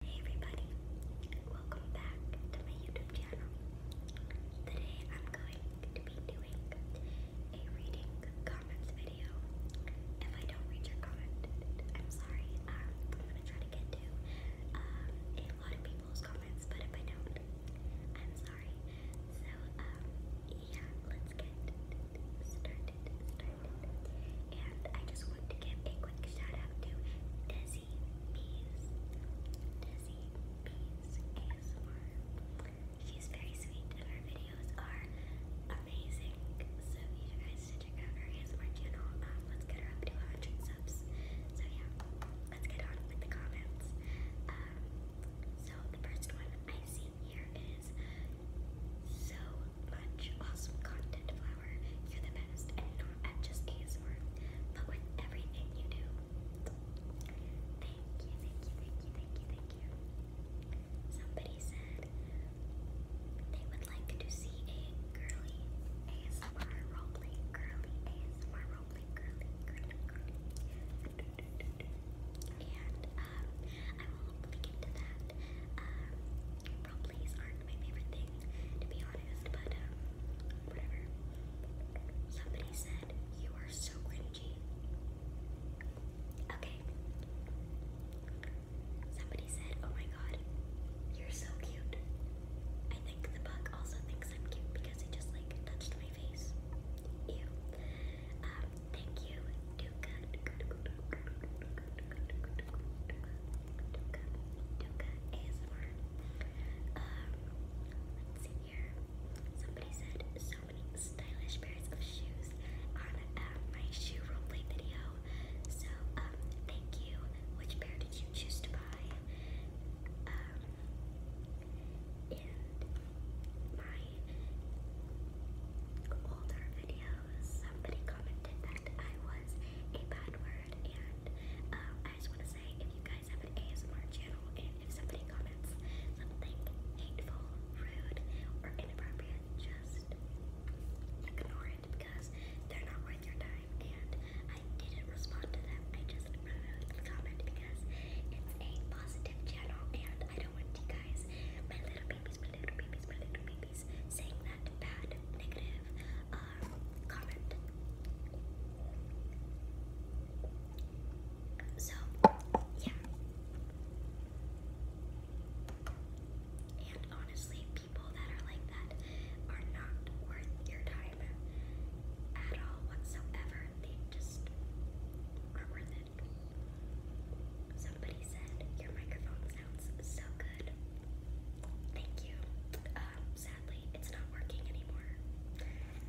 Hey everybody, welcome back to my YouTube channel. Today I'm going to be doing a reading comments video. If I don't read your comment, I'm sorry. Um, I'm gonna try to get to um, a lot of people's comments, but if I don't, I'm sorry. So um, yeah, let's get started. And I just want to give a quick shout out to Desi Pease. Desi Pease ASMR. She's very sweet and her videos are amazing. So you guys should check out her ASMR channel. Um, let's get her up to 100 subs. So yeah, let's get on with the comments. Um, so the first one I see here is so much awesome content, Flower. You're the best, and not just ASMR, but with everything you do. Thank you, thank you, thank you, thank you, thank you. Somebody said they would like to see a girly ASMR roleplay, girly ASMR roleplay, girly, girly, girly. And um, I will hopefully get that. Um, Role aren't my favorite thing, to be honest, but uh, whatever. Somebody said, You are so cringy. Okay. Somebody said, Oh my god, you're so cute. I think the bug also thinks I'm cute because it just like touched my face. Ew. Um, Thank you, Duca. Duca, Duca ASMR. Um, let's see here. Somebody said so many stylish pairs of shoes on my shoe roleplay video. So, um, thank you. Which pair did you choose to buy? Um, my older videos, somebody commented that I was a bad word, and um, I just want to say if you guys have an ASMR channel, and if somebody comments something hateful, rude, or inappropriate, just ignore it because they're not worth your time. And I didn't respond to them, I just removed the comment because it's a positive channel, and I don't want you guys, my little little babies, um, So, yeah. And honestly, people that are like that are not worth your time at all whatsoever. They just aren't worth Somebody said your microphone sounds so good. Thank you. Um, sadly, it's not working anymore,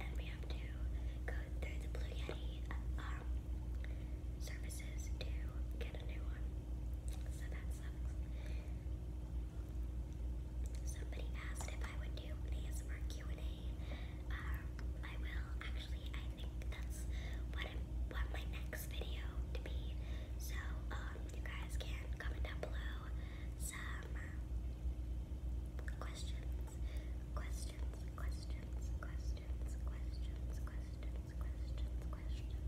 and we have to go through the Blue Yeti um, services to get a new one. So that sucks. Somebody asked if I would do an ASMR Q and A. Um, will. Actually, I that's what I want my next video to be. So um, you guys can comment down below some uh, questions, questions, questions, questions, questions, questions, questions, questions.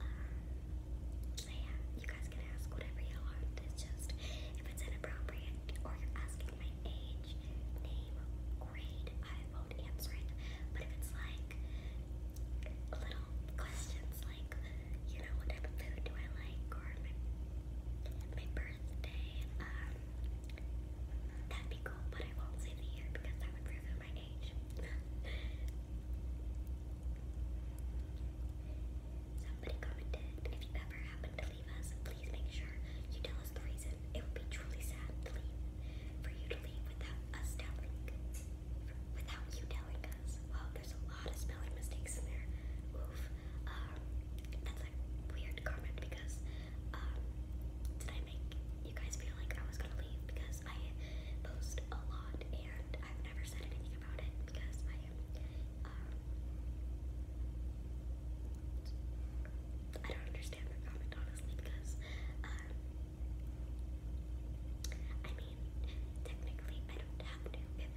Um, yeah, you guys can ask whatever you want. It's just if it's inappropriate or you're asking my age, name, grade, I won't answer it. But if it's like little questions like, you know, what type of food do I like, or my, birthday, um, that'd be cool, but I won't say the year because that would ruin my age. Somebody commented, if you ever happen to leave us, please make sure you tell us the reason. It would be truly sad for you to leave without us telling, without you telling us. Wow, there's a lot of spelling mistakes in there. Oof. Um, that's a weird comment because um, did I make you guys feel like I was gonna leave because I post a lot and I've never said anything about it because I um, I don't understand that comment honestly because, um, I mean, technically I don't have to. If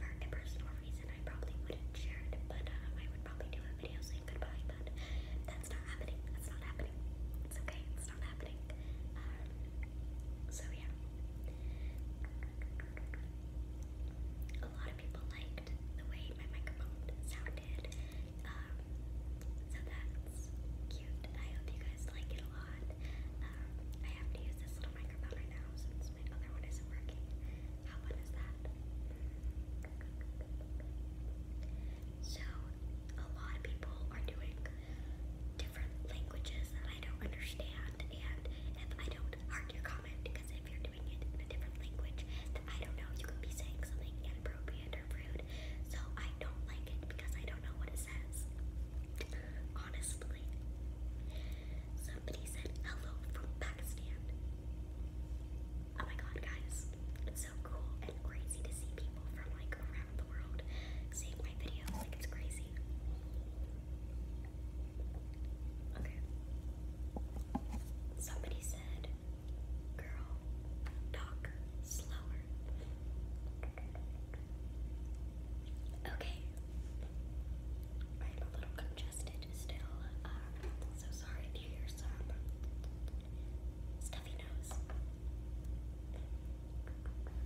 for a personal reason, I probably wouldn't share it, but um, I would probably do a video saying goodbye, but that's not happening. That's not happening. It's okay, it's not happening. Um, so yeah. A lot lot of people liked the way my microphone sounded. Um, so that's cute. I hope you guys like it a lot. Um, I have to use this little microphone right now since my other one isn't working. How fun is that? So, a lot of people are doing different languages that I don't understand, and if I don't heart your comment because if you're doing it in a different language that I don't know, you could be saying something inappropriate or rude. So I don't like it because I don't know what it says. Honestly. Somebody said hello from Pakistan. Oh my god, guys. It's so cool and crazy to see people from like around the world seeing my videos. Like, it's crazy. Okay. Somebody said, girl, talk slower. Okay. I'm a little congested still, um, so sorry to hear some stuffy nose.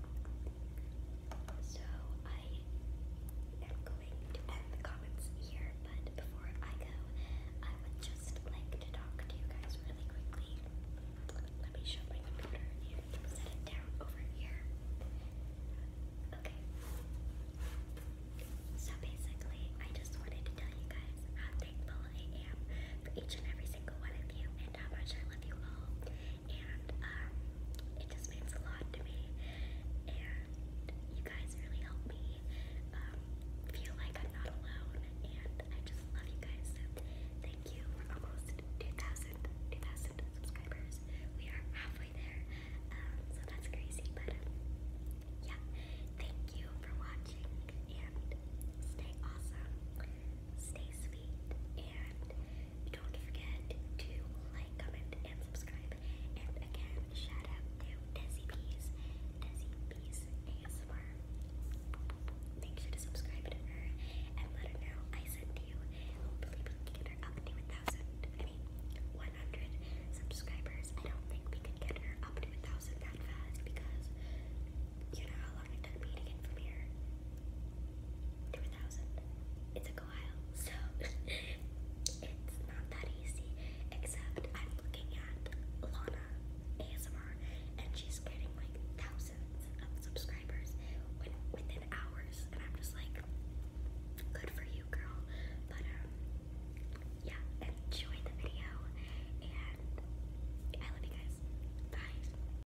So I am going to end the comments here, but before I go, I would just like to talk to you guys really quickly. Let me show my computer and set it down over here. Okay. So basically, I just wanted to tell you guys how thankful I am for each and every single one of you and how much I love you all and um, it just means a lot to me. you guys really help me um, feel like I'm not alone, and I just love you guys. thank you for almost 2,000, subscribers. We are halfway there, um, so that's crazy. But yeah, thank you for watching, and stay awesome stay sweet, and don't forget to like, comment, and subscribe. And again, shout out to Desi Bees, Desi Bees ASMR. Make sure to subscribe to her and let her know I sent you. Hopefully, we can get her up to thousand. I mean, 100 subscribers. I don't think we could get her up to thousand that fast because you know how long it took me to get from here to a a while, so it's not that easy. Except I'm looking at Lana ASMR, and she's getting like thousands of subscribers within hours, and I'm just like, good for you, girl. But um, yeah, enjoy the video, and I love you guys. Bye.